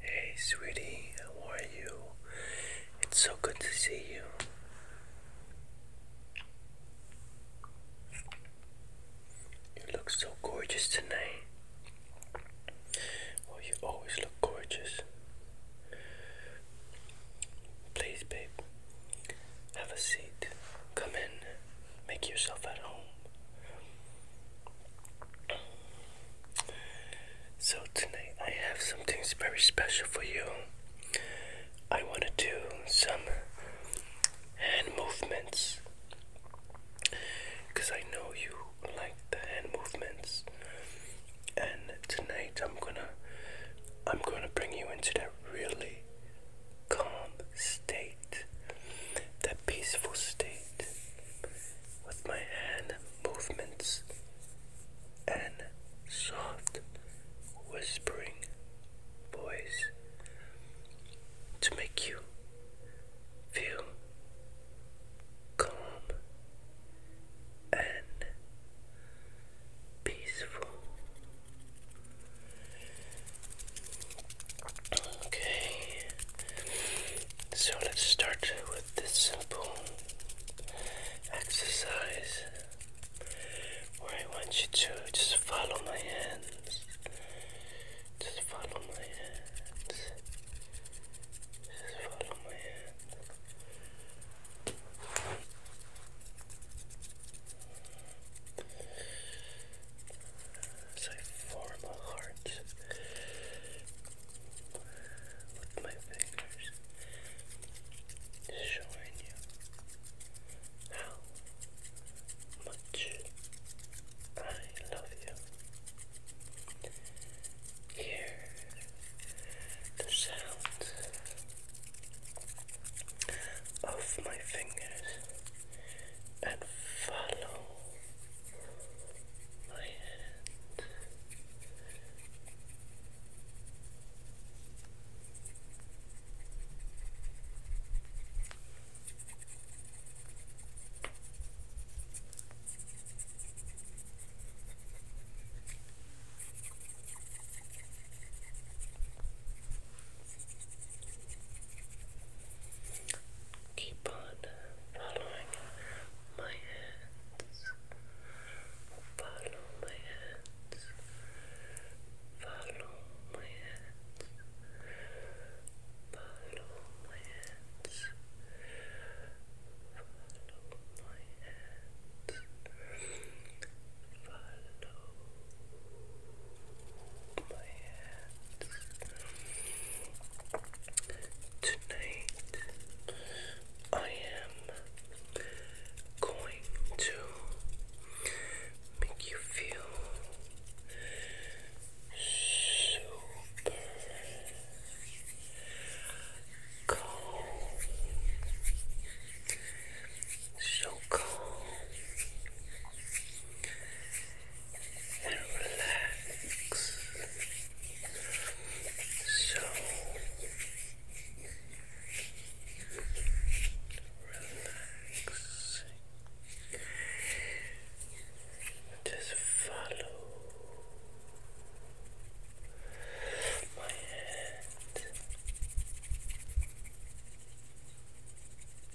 Hey, sweetie, how are you? It's so good to see you. You look so gorgeous tonight. Oh, you always look gorgeous. Please, babe, have a seat. Come in, make yourself at home. So, tonight I have some things very special for you. I want to do some hand movements because I know you like the hand movements, and tonight I'm gonna. I'm going to bring you into that really calm state, the peaceful state, with my hand movements and soft whispering voice to make you feel calm and peaceful. Okay, so let's start with this simple exercise where I want you to just follow my hands. Just follow my hands. Just follow my hands. So I form a heart with my fingers, showing you how much I love you. Hear the sound of my fingers and follow my hand. Keep on uh, following my hands. Follow my hands. Follow my hands. Follow my hands. Follow my hands. Follow my Tonight, I am going to make you feel super calm, so calm and relax. So relax. Just follow my hand.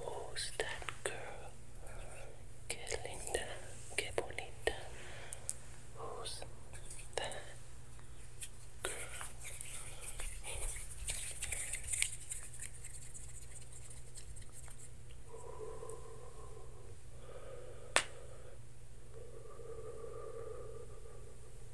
Who's that girl? Que linda, que bonita. Who's that girl?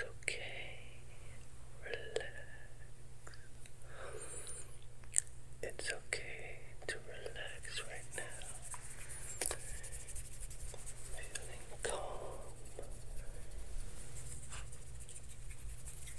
It's okay. Relax. It's okay to relax right now. Feeling calm.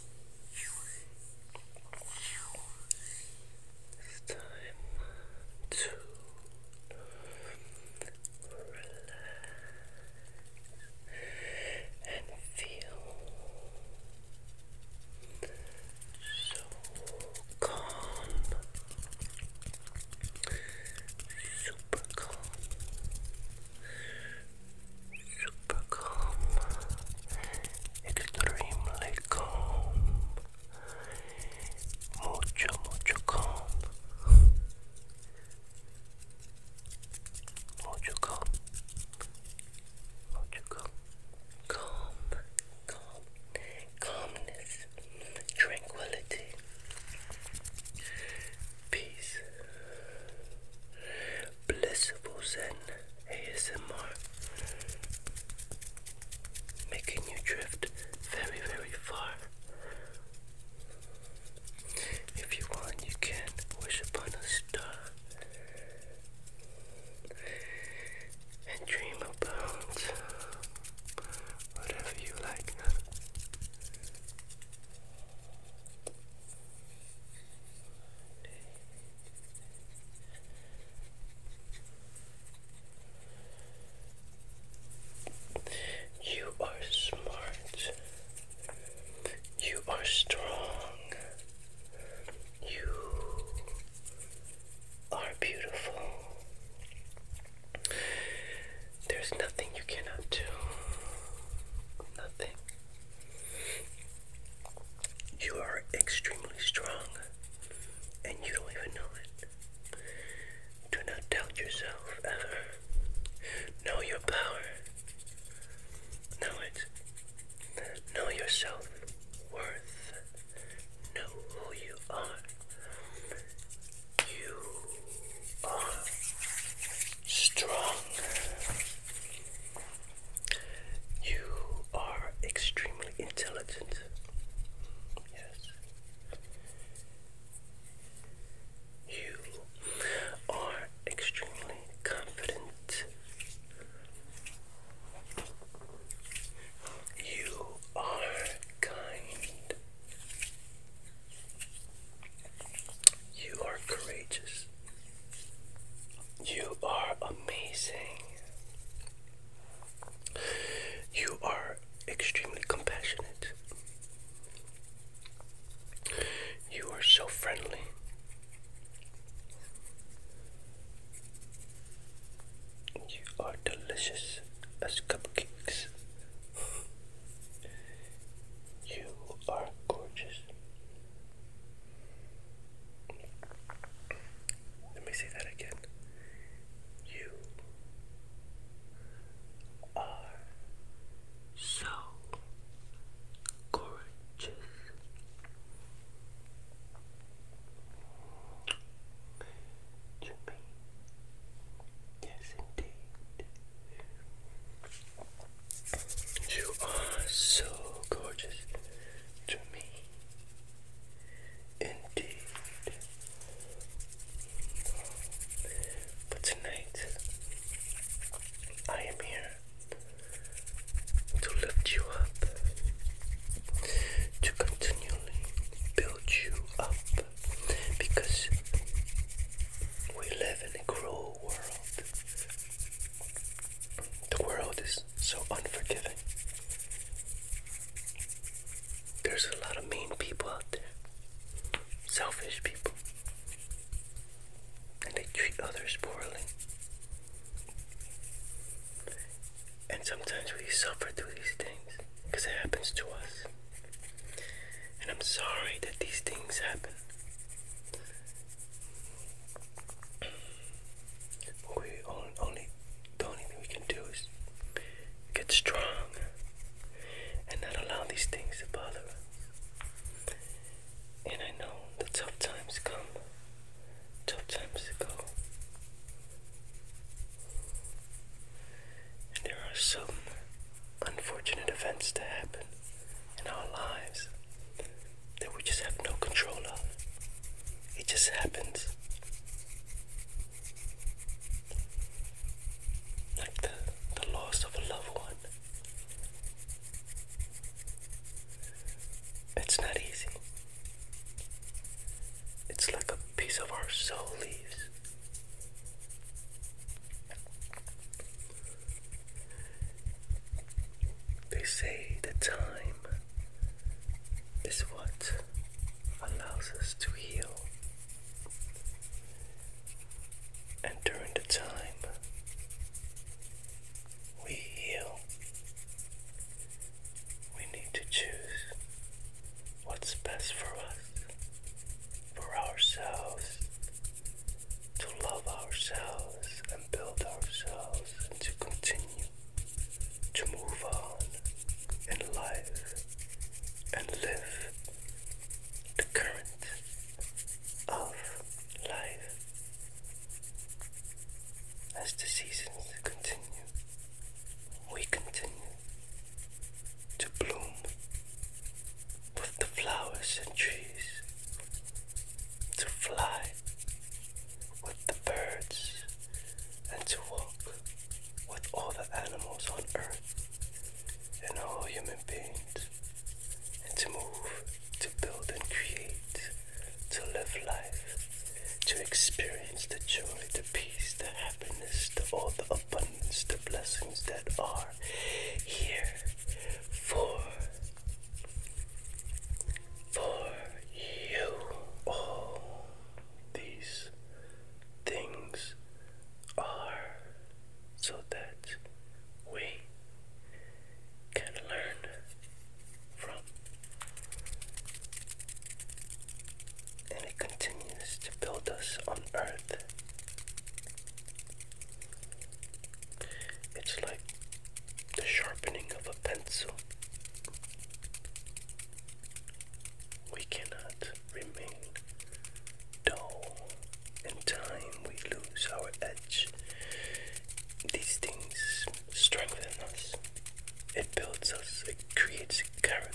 It's time to relax and feel so calm, super calm super calm, extremely calm, mucho, mucho calm, mucho calm, mucho calm, calm, calm, calmness, tranquility, peace, blissful zen. ASMR, making you drift very, very far. If you want, you can wish upon a star and dream about whatever you like. You are smart. You are strong. You are beautiful. There's nothing you cannot do. Nothing. You are extremely strong, and you don't even know it. Do not doubt yourself ever. Know your power. Know it. Know your worth. Know who you are. You are strong. You are extremely intelligent. Yes. You are extremely confident. You are kind. You are courageous. You are amazing. You are extremely compassionate. You are so friendly. You are delicious as cupcakes. You are gorgeous. Let me say that again. You are so gorgeous. To me, yes, indeed. You are so gorgeous to me. Indeed. But tonight, I am here to lift you up, to continually build you up, because we live in a cruel world. The world is so unforgiving. There's a lot of mean people out there, selfish people, and they treat others poorly. And sometimes we suffer through these things because it happens to us. And I'm sorry that these things happen we only, only thing we can do is get strong and not allow these things to bother us. And I know the tough times come, tough times go. And there are some unfortunate events to happen in our lives that we just have no control of. It just happens. Like the, the loss of a loved one. It's not easy. It's like a piece of our soul leaves. They say the time is what allows us to heal. And during the time we heal, we need to choose what's best for us, for ourselves, to love ourselves and build ourselves and to continue to move on in life and live the current of life as the seasons continue. We continue to bloom with the flowers and trees, to fly with the birds and to walk with all the animals on earth and all human beings and to move, to build and create, to live life, to experience the joy, the peace, the happiness, the all the abundance, the blessings that are here for for you. All these things are so that we can learn from. And it continues to build us on earth. It's like the sharpening of a pencil. We cannot remain dull. In time, we lose our edge. These things strengthen us, it builds us, it creates character.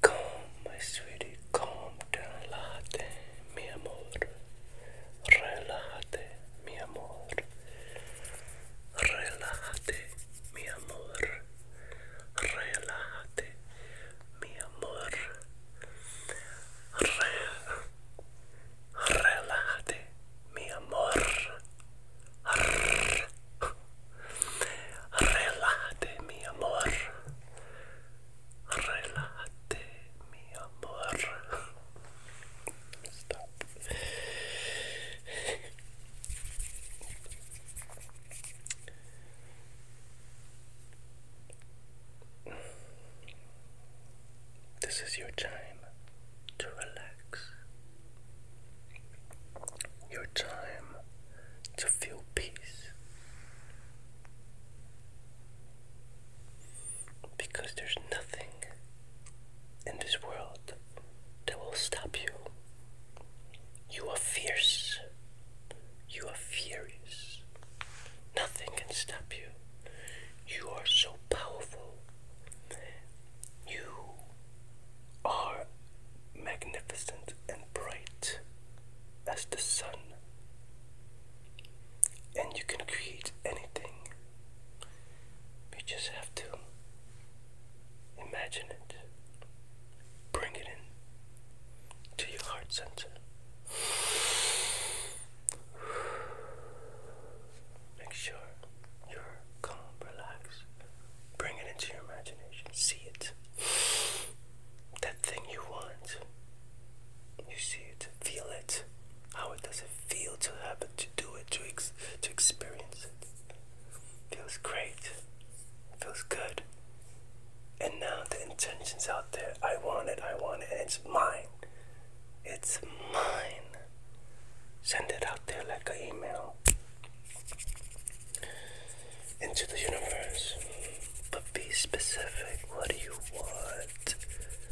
Come, my sweetie, come, relájate, mi amor. Relájate, mi amor. Relájate, mi amor. Relájate, mi amor. Re Relájate, mi amor. Relájate, mi amor. Relájate, This is your time to relax. Your time to feel peace. Because there's nothing in this world that will stop you. You are fierce. You are furious. Nothing can stop you. You are so powerful. You are magnificent and bright as the sun. And you can create anything. You just have to imagine it. Bring it in to your heart center. Make sure you're calm, relaxed. Bring it into your imagination see it. That thing you want. You see it. Feel it. How it does it feel to have it, to do it, to to experience it. Feels great. Feels good. And now the intention's out there. I want it, I want it, it's mine. It's mine. Send it out there like an email into the universe. But be specific. What do you want?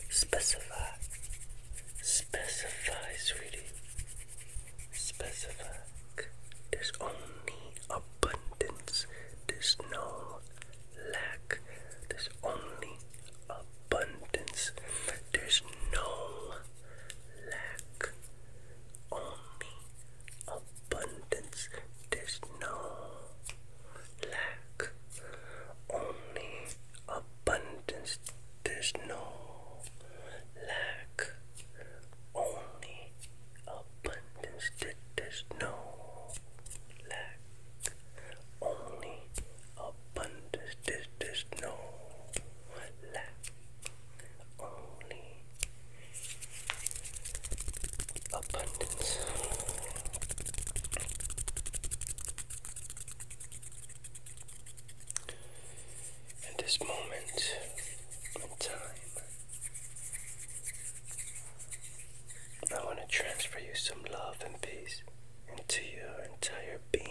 Specify. Specify, sweetie. Specify. There's only abundance. There's no lack. There's only abundance. There's no lack. Only abundance. There's no lack, only abundance. There's no lack, only abundance. There's no lack, only abundance. There's no lack, only abundance. At this moment in time, I want to transfer you some love and peace into your entire being.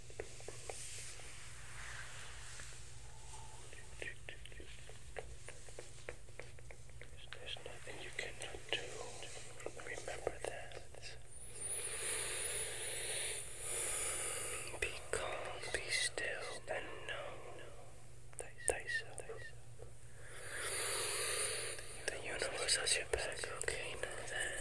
There's nothing you cannot do. Remember that. Be calm, be still, and know thyself. The universe has your back, okay? Know that.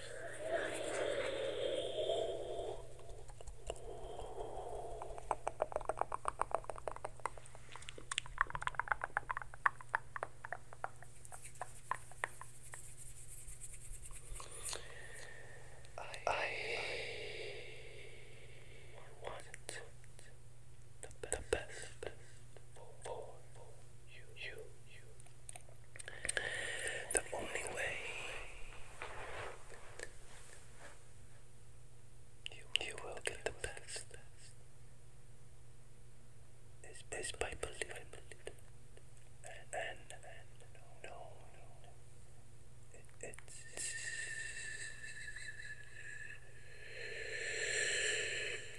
I want the best for you, you, The only way you, will get the best is, by believing and, and, no, no, no.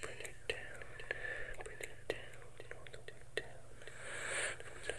Bring it down, bring it down, all the down,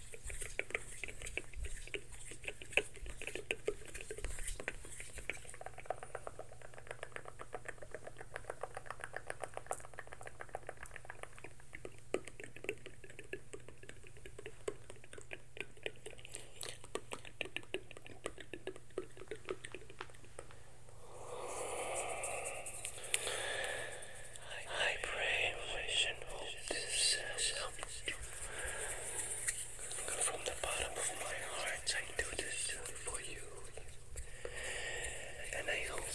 I pray wish and hope this has uh, you from the bottom of my heart, I do this for you. And I hope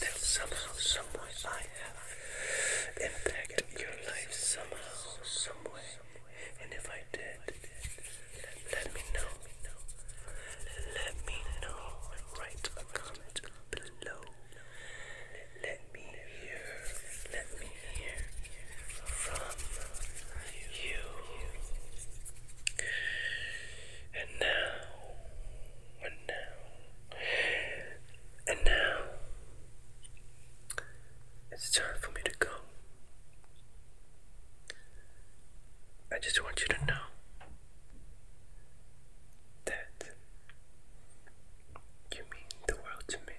that somehow, someway, I have impacted your life somehow, someway. And if I did, let me know. Let me know. Write a comment below. Let me hear, let me hear from you. And now, and now, and now, it's time for me to go. I just want you to know that you mean the world to me.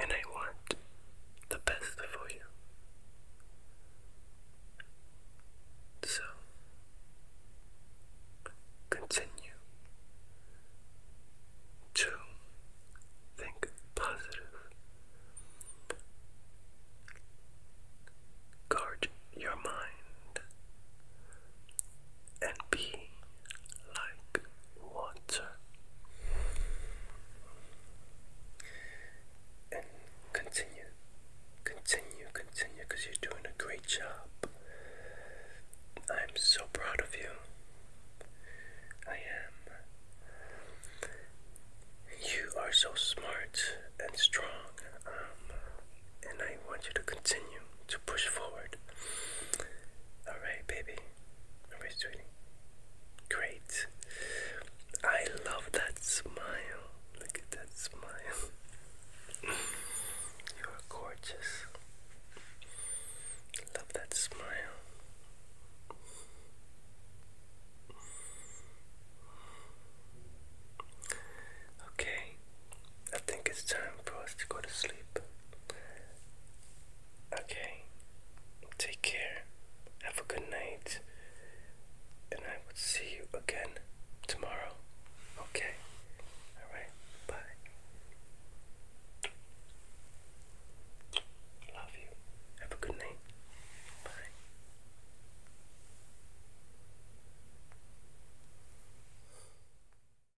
And I want the best for you. So, continue to think positive. Guard your mind and be like water and continue continue continue you're doing a great job I'm so proud of you I am you are so smart and strong um, and I want you to continue to push forward. Alright, baby. Alright, sweetie. Great. I love that smile. Look at that smile. you are gorgeous. Love that smile. Okay, I think it's time for us to go to sleep. Okay, take care, have a good night, and I will see you again tomorrow. Okay, alright, bye. Love you, have a good night, bye.